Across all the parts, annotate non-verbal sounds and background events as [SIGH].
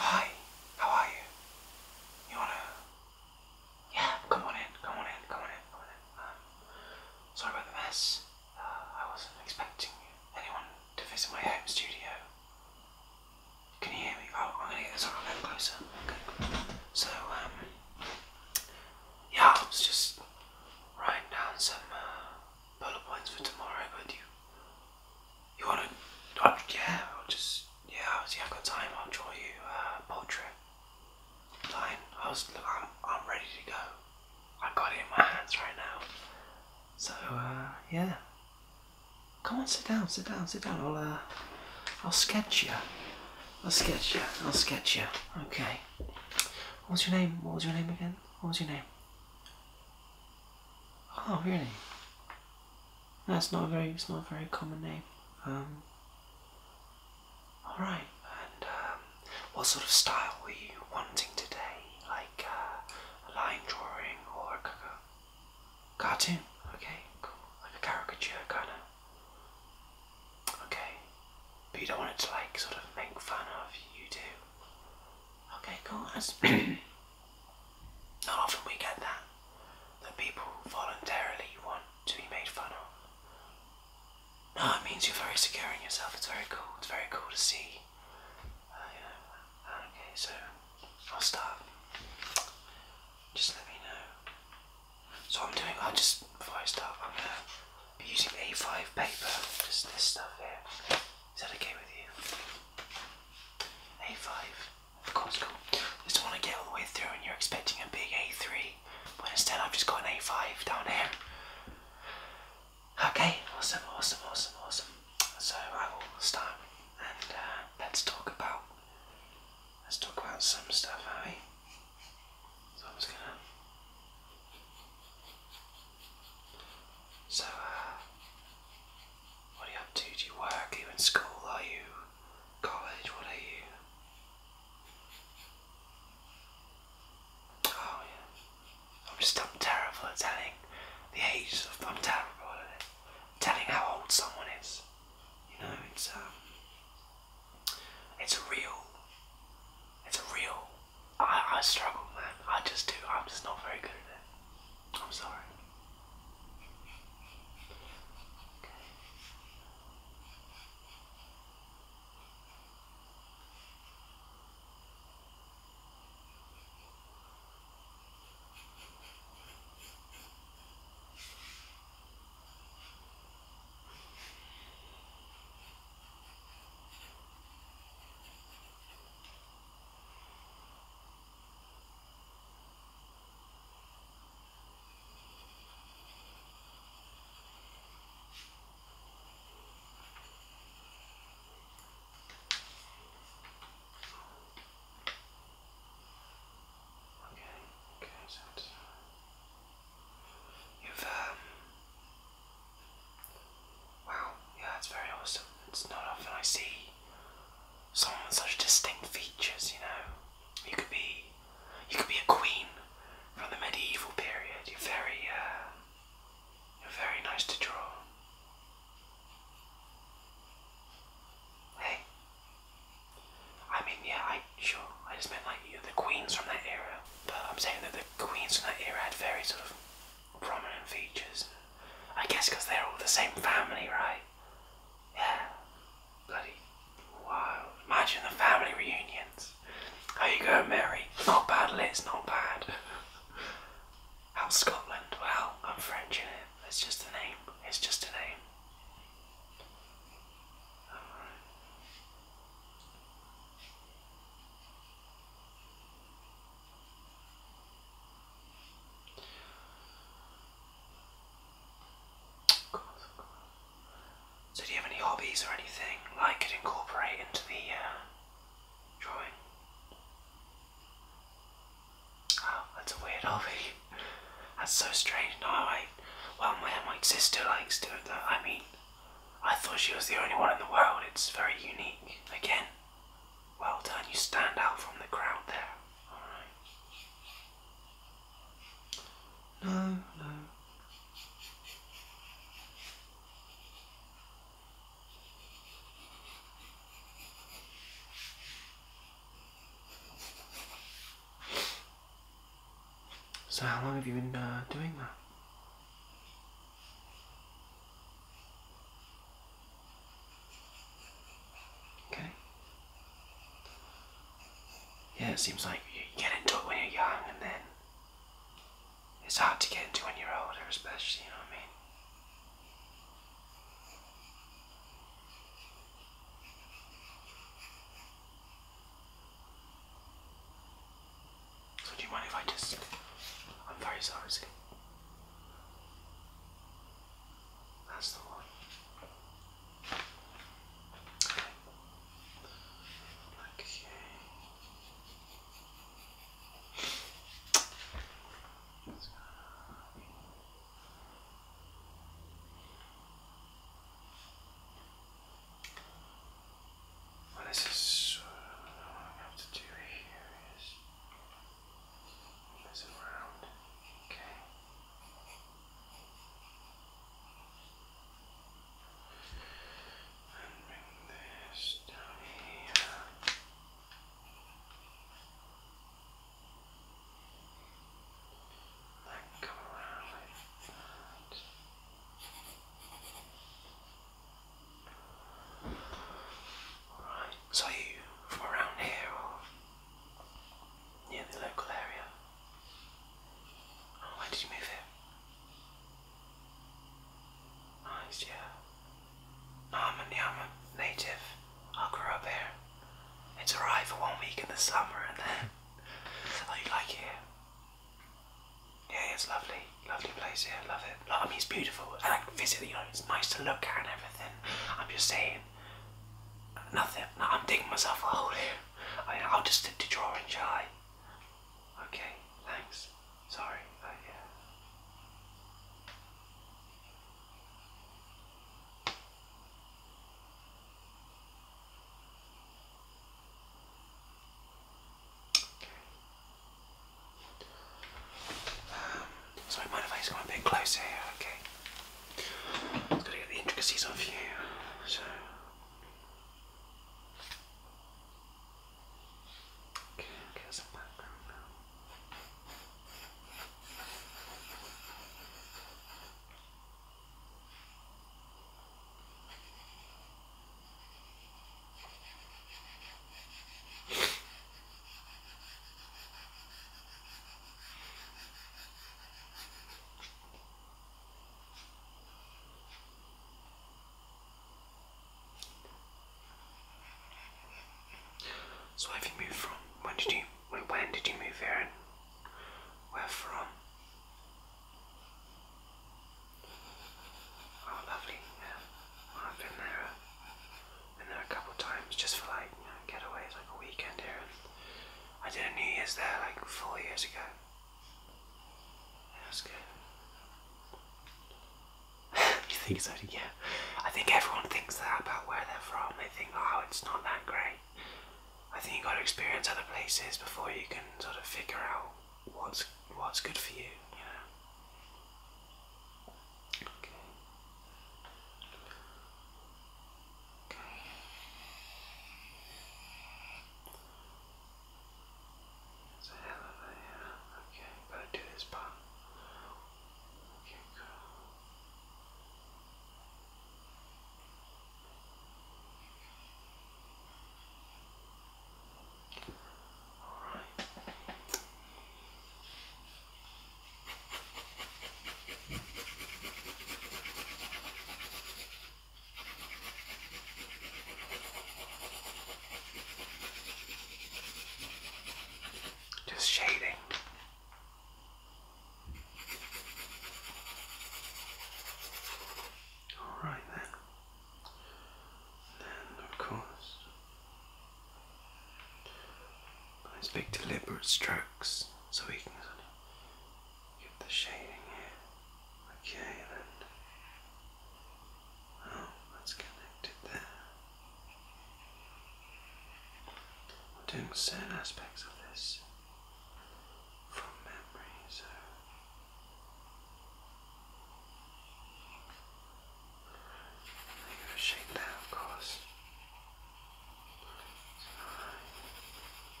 Hi, how are you? You wanna? Yeah, come on in, come on in, come on in, come on in. Um, sorry about the mess. Uh, I wasn't expecting anyone to visit my home studio. Can you hear me? Oh, I'm gonna get this on a little closer. Okay. So, um, yeah, I was just writing down some uh, bullet points for tomorrow, but you want to? Uh, yeah, I'll just. Yeah, I'll see, I've got time. I'll draw you a portrait. Fine. I am I'm ready to go. I have got it in my hands right now. So uh, yeah. Come on, sit down, sit down, sit down. I'll. Uh, I'll sketch you. I'll sketch you. I'll sketch you. Okay. What's your name? What was your name again? What was your name? Oh, really? That's not a very it's not very common name. Um, all right. And um, what sort of style were you wanting today? Like uh, a line drawing or a cartoon? Okay, cool. Like a caricature kind of. Okay, but you don't want it to like sort of make fun of you do. Okay, cool. That's [CLEARS THROAT] not often we get that. That people voluntarily want to be made fun of. No, it means you're very secure in yourself. It's very cool. It's very cool to see. Uh, uh, okay, so I'll start. Just let me know. So I'm doing. I will just before I start, I'm gonna be using A5 paper. Just this stuff here. Is that okay with you? A5 of Costco. Just want to get all the way through, and you're expecting a big A3, but instead I've just got an A5 down here. Okay, awesome, awesome, awesome, awesome. So I will start, and uh, let's talk about let's talk about some stuff, are So I'm just gonna. So, uh, what are you up to? Do you work? Are you in school? Are you college? What are you? Oh yeah. I'm just I'm terrible at telling the age of I'm terrible at it. Telling how old someone is. You know, it's um it's a real it's a real I I struggle man. I just do I'm just not very good at it. I'm sorry. Okay. Okay, good. You've um, Wow, yeah, that's very awesome. It's not often I see someone with such distinct features, you know. You could be you could be a queen from the medieval period. You're very uh, you're very nice to draw. Hey. I mean yeah, I sure. I just meant like the queens from that era. But I'm saying that the queens from that era had very sort of prominent features. I guess because they're all the same family, right? Yeah. Bloody wild. Imagine the family reunions. How you going, Mary? Not bad, Liz, not bad. How's Scotland? Well, I'm French in it. It's just a name. It's just a name. So, do you have any hobbies or anything I could incorporate into the uh, drawing? Oh, that's a weird hobby. [LAUGHS] That's so strange. No, I. Well, my my sister likes doing that. I mean, I thought she was the only one in the world. It's very unique. Again, well done, you stand out from the crowd there. Alright. No, no. So, how long have you been uh, doing that? Okay. Yeah, it seems like you get into it when you're young, and then it's hard to get into when you're older, especially, you know what I mean? So do you mind if I just... I'm very sorry, that's the one. Okay. Let's this what I have to do here is mess it around. Okay. And bring this down here. Then come around like Alright, so are you from around here or near the local area? Oh, when did you move here? Nice, yeah. No, I'm a, native. I grew up here. It's alright for one week in the summer and then. [LAUGHS] oh, you like it Yeah, it's lovely. Lovely place here, love it. I mean, it's beautiful. I like visit, it's nice to look at and everything. I'm just saying, nothing. I'm digging myself a hole here. I will just stick to drawing, shall I? Okay, thanks. Sorry. Oh, yeah. So um, sorry, mind if I just come a bit closer here, okay? I've got get the intricacies of you, so... Okay, okay, that's the background now. So where have you moved from? When did you when, when did you move here where from? Oh lovely, yeah. I've been there uh, and then a couple of times just for like getaways, like a weekend here. I did a New Year's there like four years ago. That was good. [LAUGHS] you think so? Yeah. I think everyone thinks that about where they're from. They think, oh, it's not that great. I think you got to experience other places before you can sort of figure out what's what's good for you. You know. Okay. Okay. It's a hell of a yeah. Okay, gotta do this part. Okay, cool. Just shading. All right then. Then of course Nice big deliberate strokes so we can get the shading here. Okay then. Oh, that's connected there. We're doing certain aspects of this from memory, so you're going to of course.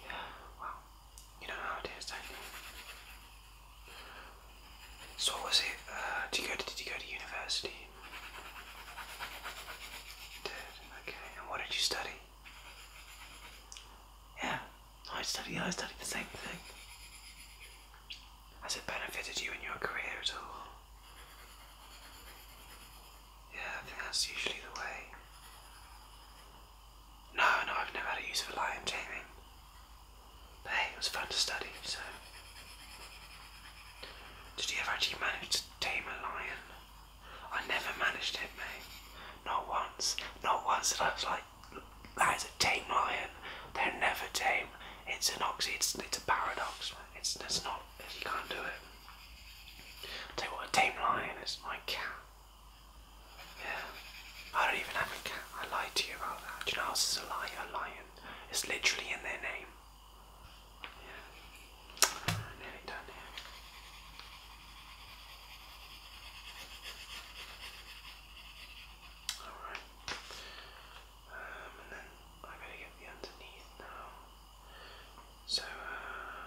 Yeah, well, you know how it is, don't you? So what was it? Uh, did you go to did you go to university? You did okay. And what did you study? Yeah, I study. I studied the same thing. Has it benefited you in your career at all? Yeah, I think that's usually the way. No, no, I've never had a use for lion taming. But it was fun to study, so. Did you ever actually manage to tame a lion? I never managed it, mate. Not once. Not once that I was like, that is a tame lion. They're never tame. It's an oxy. It's it's a paradox. It's that's not. You can't do it. i tell you what, a tame lion is my cat. Yeah, I don't even have a cat. I lied to you about that. Do you know how is a lie? A lion. It's literally in their name. Yeah. Nearly done here. Alright. Um, and then I better get the underneath now. So, um,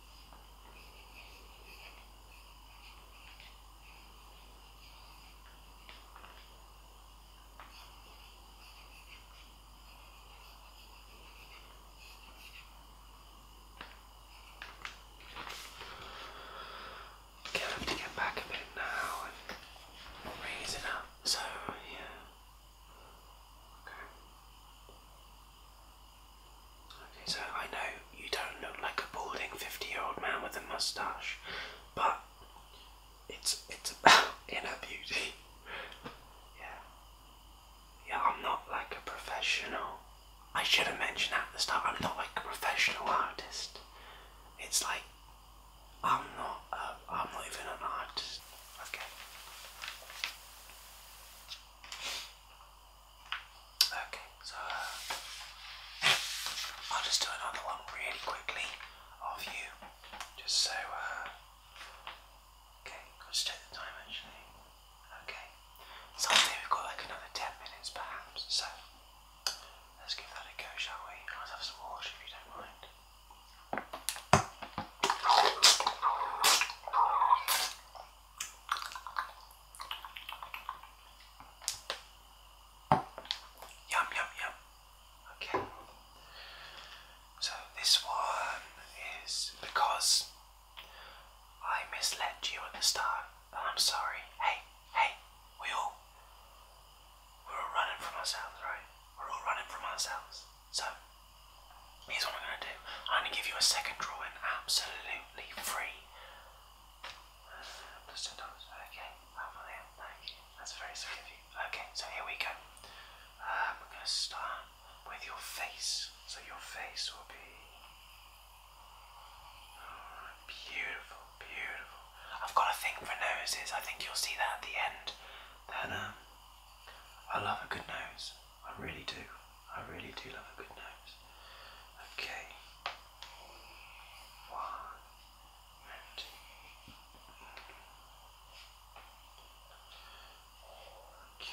Okay, I have to get back a bit now and raise it up. So yeah. Okay so I know you don't look like a balding 50 year old man with a mustache, but it's it's about [LAUGHS] inner beauty. yeah. Yeah, I'm not like a professional. I should have mentioned at the start, I'm not like a professional artist. It's like I'm not a, I'm not even an artist. Okay. Okay, so uh, I'll just do another one really quickly of you, just so. Uh, okay, I'll check the time actually. Okay, so I think we've got like another 10 minutes perhaps, so let's give that a go, shall we? I'll have some water if you don't mind. Yum, yum, yum. Okay. So this one is because I misled you at the start, and I'm sorry. Hey, hey, we all we're all running from ourselves, right? We're all running from ourselves. So here's what I'm gonna do. I'm gonna give you a second drawing, absolutely completely free. Okay, thank you. That's very sweet of you. Okay, so here we go. Um, I'm gonna start with your face. So your face will be oh, beautiful, beautiful. I've got a thing for noses. I think you'll see that at the end. Then, um, I love a good nose. I really do. I really do love a good nose. Okay. One Okay.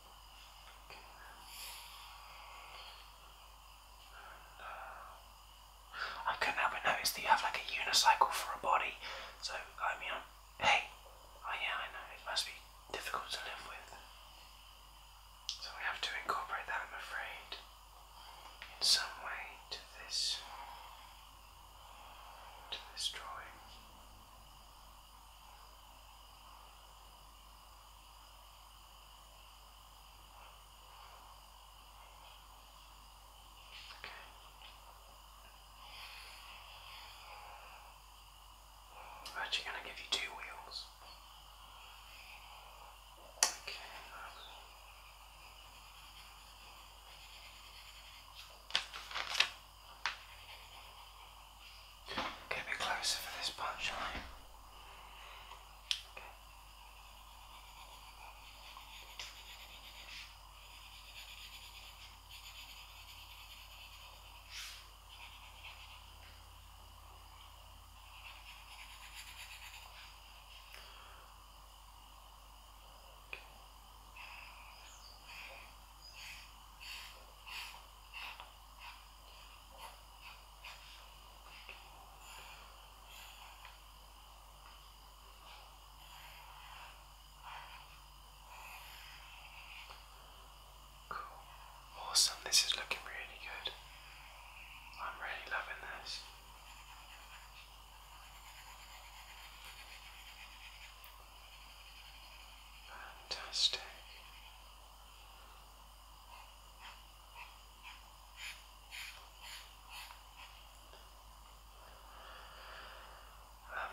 I couldn't help but notice that you have like a unicycle for a body, so I mean, hey, oh yeah, I know, it must be difficult to live with. So we have to incorporate that, I'm afraid, in some way to this, to this drawing. Okay. I'm actually going to give you two wheels. Okay. Get a bit closer for this part, shall Okay. Okay. Cool. Awesome. This is looking really good. I'm really loving this. Fantastic. I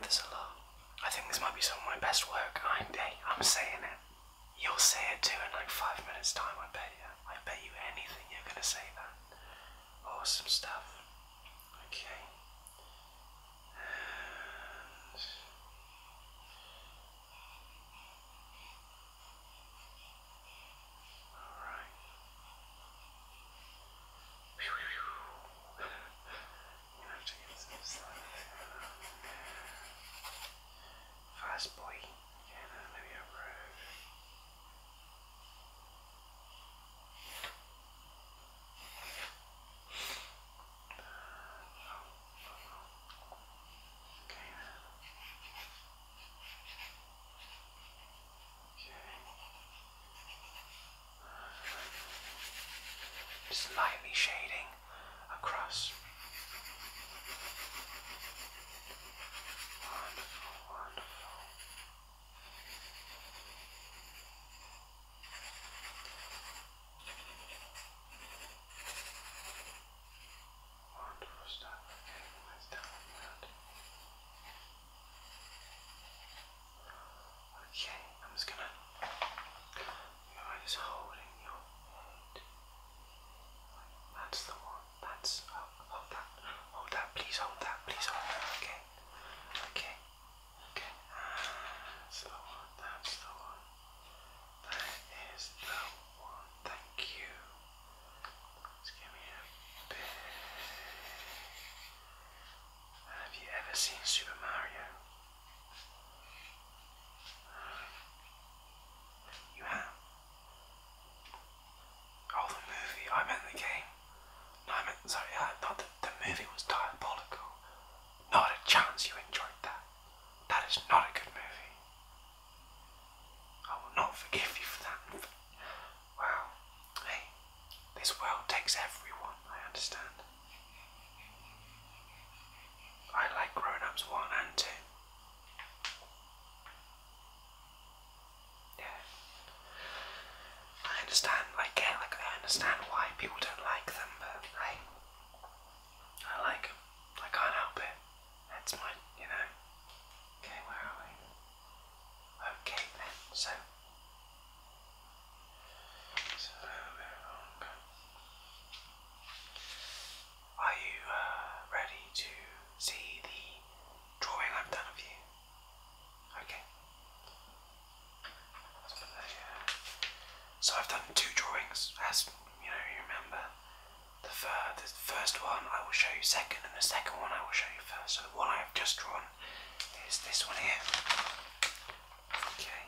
love a lot. I think this might be some of my best work. I, am saying it. You'll say it too in like five minutes' time, I bet you. I bet you anything you're gonna say that. Awesome stuff. Okay. All right. you have to get some sun. Fast boy. Yeah, no, maybe a road. Just lightly shading across. Wonderful, wonderful. Wonderful stuff. let's down that. Okay, I'm just gonna. You are just holding your head. That's the one. That's hold that. Hold that. Please hold that. Please hold Okay. Okay. Okay. That's That's the one. That is the one. Thank you. Let's give me a bit. Have you ever seen Super Mario? Um, you have? Oh, the movie. I meant the game. No, I meant, sorry, uh, not the movie was diabolical. Not a chance you enjoyed that. That is not a good movie. I will not forgive you for that. Wow. Hey, this world takes everyone, I understand. I like grown ups one and two. Yeah. I understand, I get, like, I understand why people don't like them, but hey, I like them. I can't help it. That's my, you know. Okay, where are we? Okay then, so. It's a little bit Are you uh, ready to see the drawing I've done of you? Okay. Let's put that here. So I've done two drawings, as you know, you remember. The, first one I will show you second, and the second one I will show you first. So the one I have just drawn is this one here. Okay.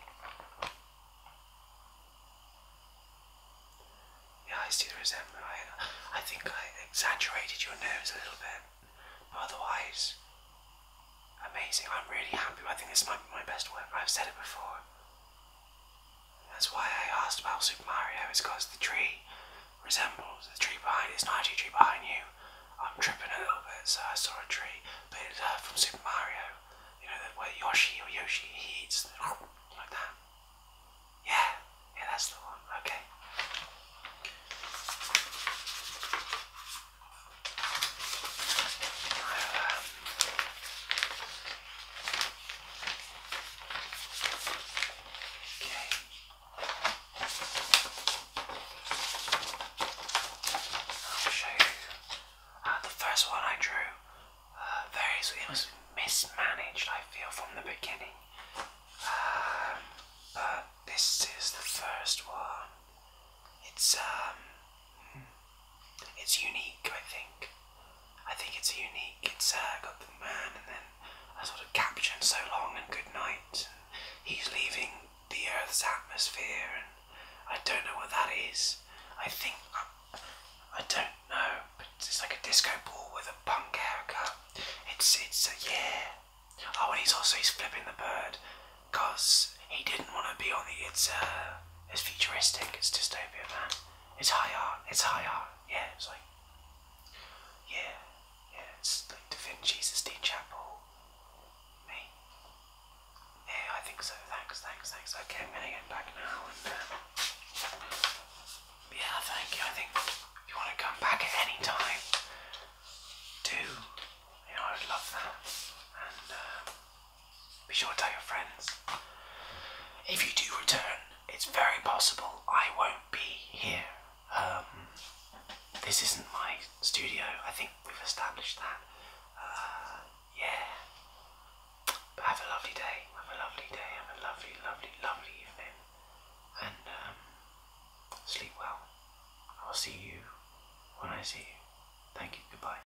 Yeah, I see the resemblance. I, I think I exaggerated your nose a little bit, but otherwise, amazing. I'm really happy. I think this might be my best work. I've said it before. That's why I asked about Super Mario, is because the tree resembles the tree behind it's not actually tree behind you. I'm tripping a little bit, so I saw a tree, but it's uh, from Super Mario. You know, the where Yoshi or Yoshi he eats the, like that. Yeah, yeah, that's the one. Okay. Um, I'll show you. Uh, the first one I drew, uh, very it was mismanaged. I feel from the beginning, um, but this is the first one. It's um, it's unique, I think. I think it's unique. It's uh, got the man and then a sort of caption, so long and good night. he's leaving the Earth's atmosphere, and I don't know what that is. I think I, I don't know, but it's like a disco ball with a punk haircut. It's it's a uh, yeah. Oh, and he's also he's flipping the bird, cause he didn't want to be on the it's uh it's futuristic. It's dystopia, man. It's high art. It's high art. Yeah, it's like, yeah, yeah. It's like Da Vinci's, the Chapel, me. Yeah, I think so. Thanks, thanks, thanks. Okay, I'm gonna get back now. And, um, yeah, thank you. I think you want to come back at any time, do. You know, I would love that. And uh, be sure to tell your friends. If you do return, it's very possible I won't be here. Um, this isn't my studio, I think we've established that. Uh, yeah. But have a lovely day, have a lovely day, have a lovely, lovely, lovely evening. And um, sleep well. I'll see you when I see you. Thank you, goodbye.